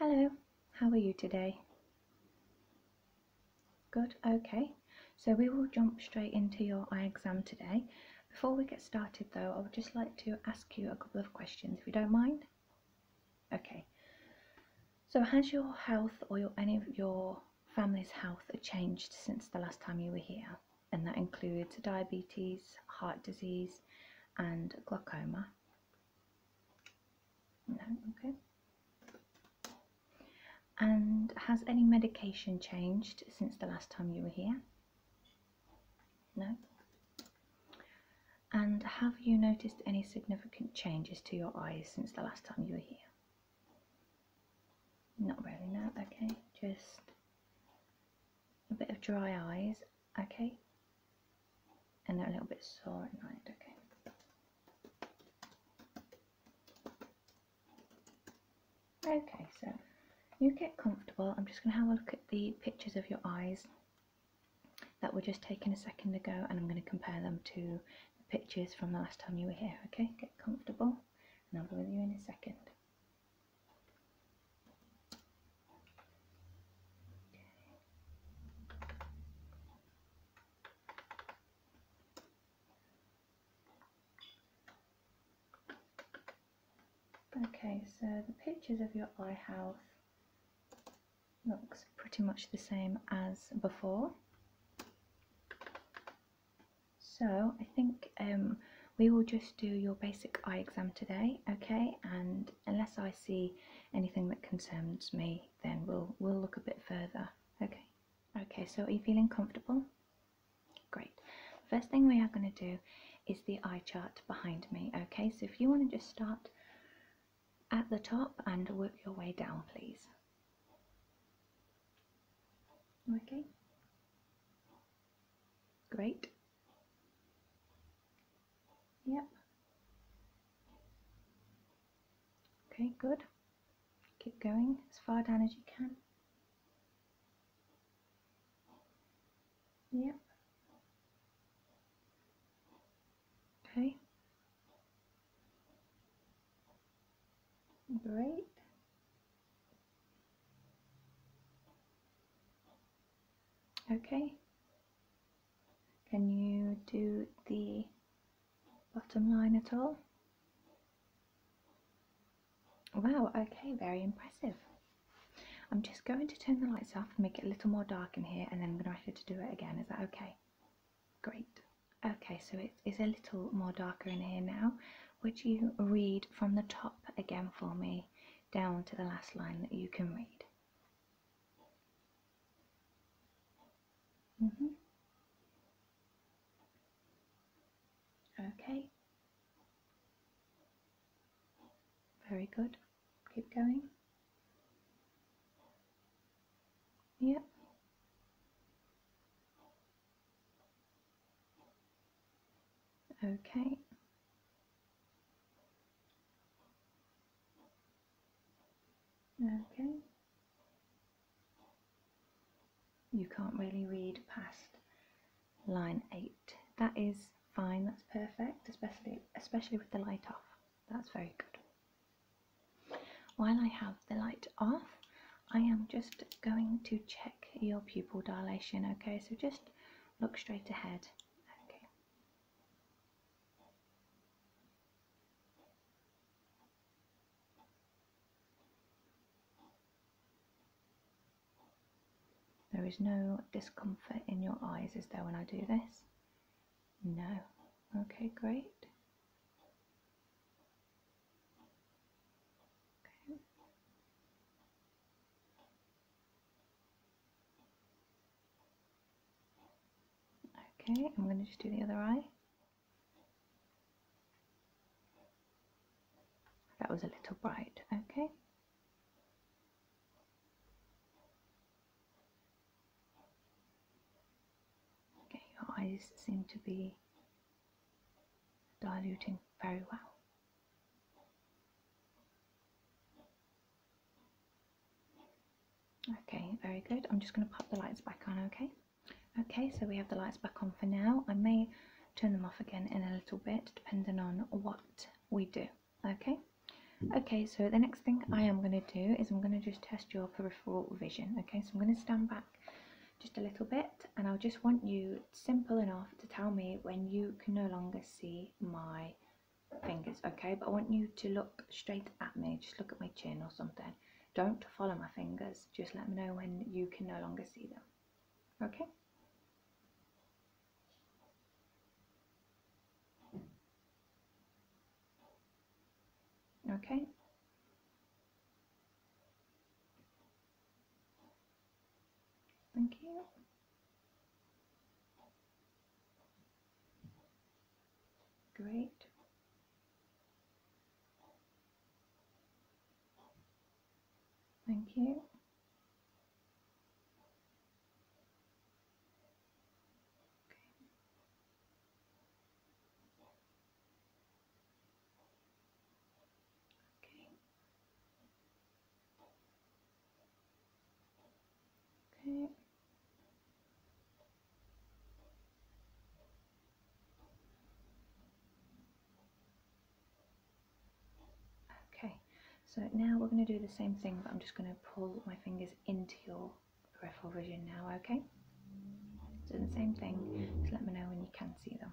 Hello, how are you today? Good, okay. So we will jump straight into your eye exam today. Before we get started though, I would just like to ask you a couple of questions if you don't mind. Okay. So has your health or any of your family's health changed since the last time you were here? And that includes diabetes, heart disease and glaucoma. No, okay. And has any medication changed since the last time you were here? No. And have you noticed any significant changes to your eyes since the last time you were here? Not really, no. Okay, just a bit of dry eyes okay and they're a little bit sore at okay okay so you get comfortable I'm just gonna have a look at the pictures of your eyes that were just taken a second ago and I'm going to compare them to the pictures from the last time you were here okay get comfortable and I'll be with you in a second Okay, so the pictures of your eye health looks pretty much the same as before. So I think um, we will just do your basic eye exam today, okay? And unless I see anything that concerns me, then we'll we'll look a bit further. Okay. Okay. So are you feeling comfortable? Great. First thing we are going to do is the eye chart behind me. Okay. So if you want to just start at the top and work your way down, please. Okay. Great. Yep. Okay, good. Keep going as far down as you can. Yep. Okay. Great. Okay. Can you do the bottom line at all? Wow, okay, very impressive. I'm just going to turn the lights off and make it a little more dark in here and then I'm going to ask you to do it again. Is that okay? Great. Okay, so it is a little more darker in here now. Would you read from the top again for me? down to the last line that you can read. Mm-hmm. Okay. Very good. Keep going. Yep. Okay. Okay. You can't really read past line 8. That is fine, that's perfect, especially, especially with the light off. That's very good. While I have the light off, I am just going to check your pupil dilation, okay? So just look straight ahead. There is no discomfort in your eyes, is there, when I do this? No. Okay, great. Okay, I'm going to just do the other eye. That was a little bright, okay. Okay, your eyes seem to be diluting very well. Okay, very good. I'm just going to pop the lights back on, okay? Okay, so we have the lights back on for now. I may turn them off again in a little bit, depending on what we do, okay? Okay, so the next thing I am going to do is I'm going to just test your peripheral vision, okay? So I'm going to stand back just a little bit and I just want you simple enough to tell me when you can no longer see my fingers okay but I want you to look straight at me just look at my chin or something don't follow my fingers just let me know when you can no longer see them okay okay Thank you. Great. Thank you. Okay. Okay. Okay, so now we're going to do the same thing, but I'm just going to pull my fingers into your peripheral vision now, okay? Do the same thing, just let me know when you can see them.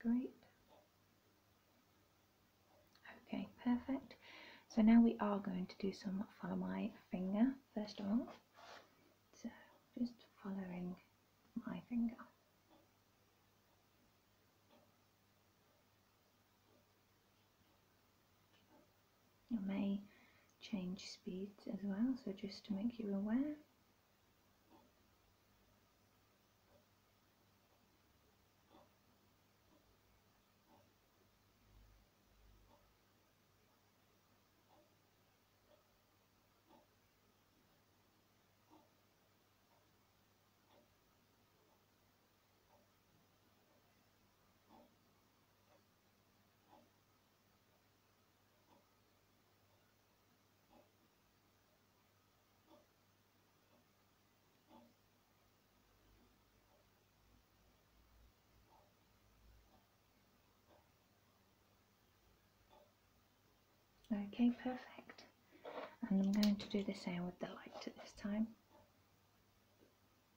Great. Okay, perfect. So now we are going to do some follow my finger first of all. So just following my finger. You may change speeds as well, so just to make you aware. Okay, perfect. And I'm going to do the same with the light this time.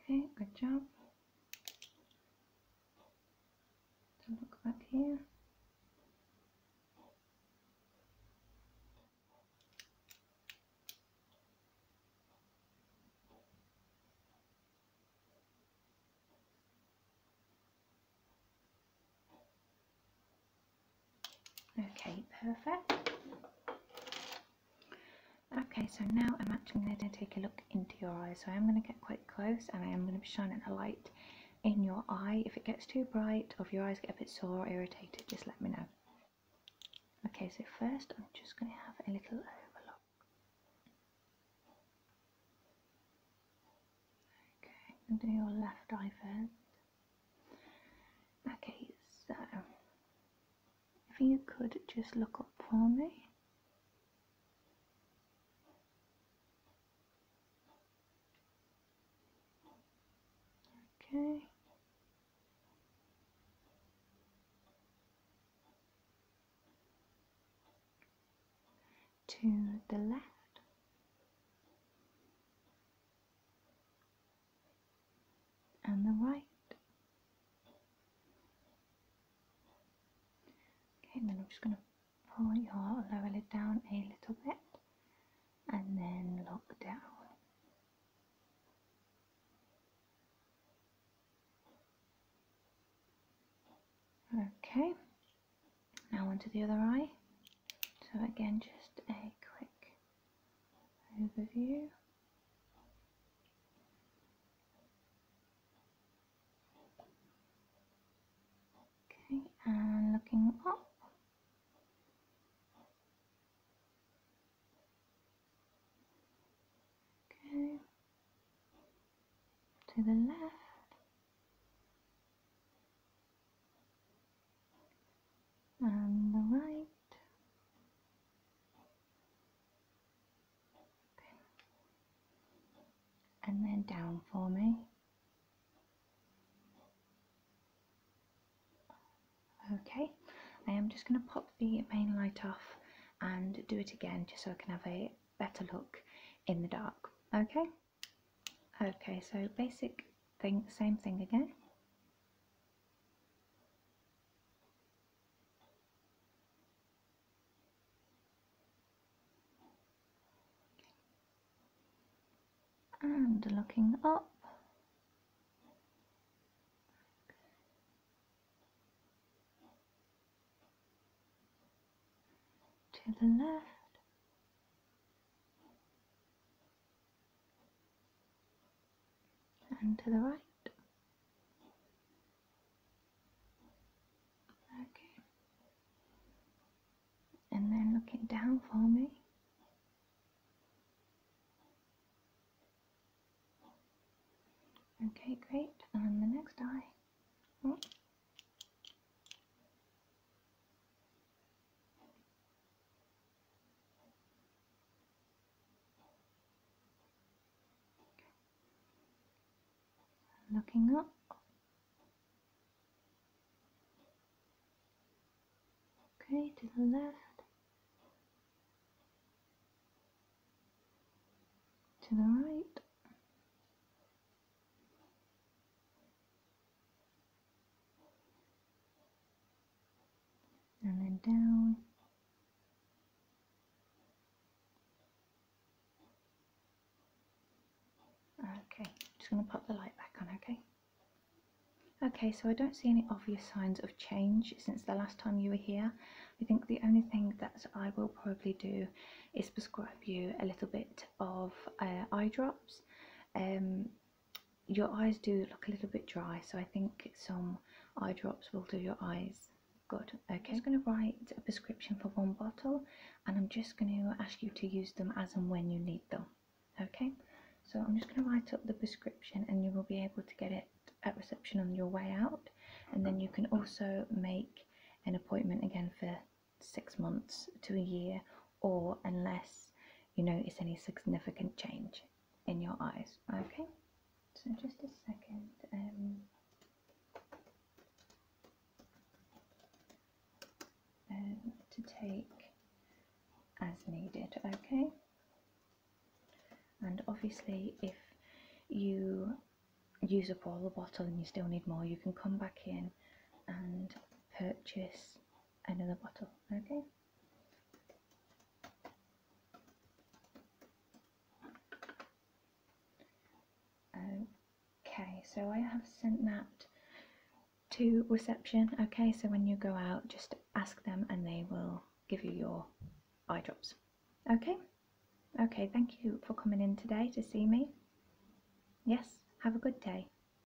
Okay, good job. So look back here. Okay, perfect. Okay, so now I'm actually going to take a look into your eyes. So I'm going to get quite close and I am going to be shining a light in your eye. If it gets too bright or if your eyes get a bit sore or irritated, just let me know. Okay, so first I'm just going to have a little overlook. Okay, do your left eye first. Okay, so if you could just look up for me. Okay. To the left and the right. Okay, and then I'm just going to pull your lower lid down a little bit and then look down. Okay, now onto the other eye. So again, just a quick over you. Okay, and looking up. Okay, to the left. And the right. And then down for me. Okay, I am just going to pop the main light off and do it again just so I can have a better look in the dark. Okay, okay, so basic thing, same thing again and looking up. To the left and to the right. Okay. And then looking down for me. Okay, great. And the next eye. Hmm? Looking up. Okay, to the left. To the right and then down okay just going to put the light back on okay okay so I don't see any obvious signs of change since the last time you were here I think the only thing that I will probably do is prescribe you a little bit of uh, eye drops um, your eyes do look a little bit dry, so I think some eye drops will do your eyes good. Okay, I'm just going to write a prescription for one bottle, and I'm just going to ask you to use them as and when you need them. Okay, so I'm just going to write up the prescription, and you will be able to get it at reception on your way out, and then you can also make an appointment again for six months to a year, or unless you notice any significant change in your eyes. Okay, so just a second. Um, um, to take as needed, okay? And obviously, if you use up all the bottle and you still need more, you can come back in and purchase another bottle, okay? Okay, so I have sent that to reception. Okay, so when you go out, just ask them and they will give you your eye drops. Okay? Okay, thank you for coming in today to see me. Yes, have a good day.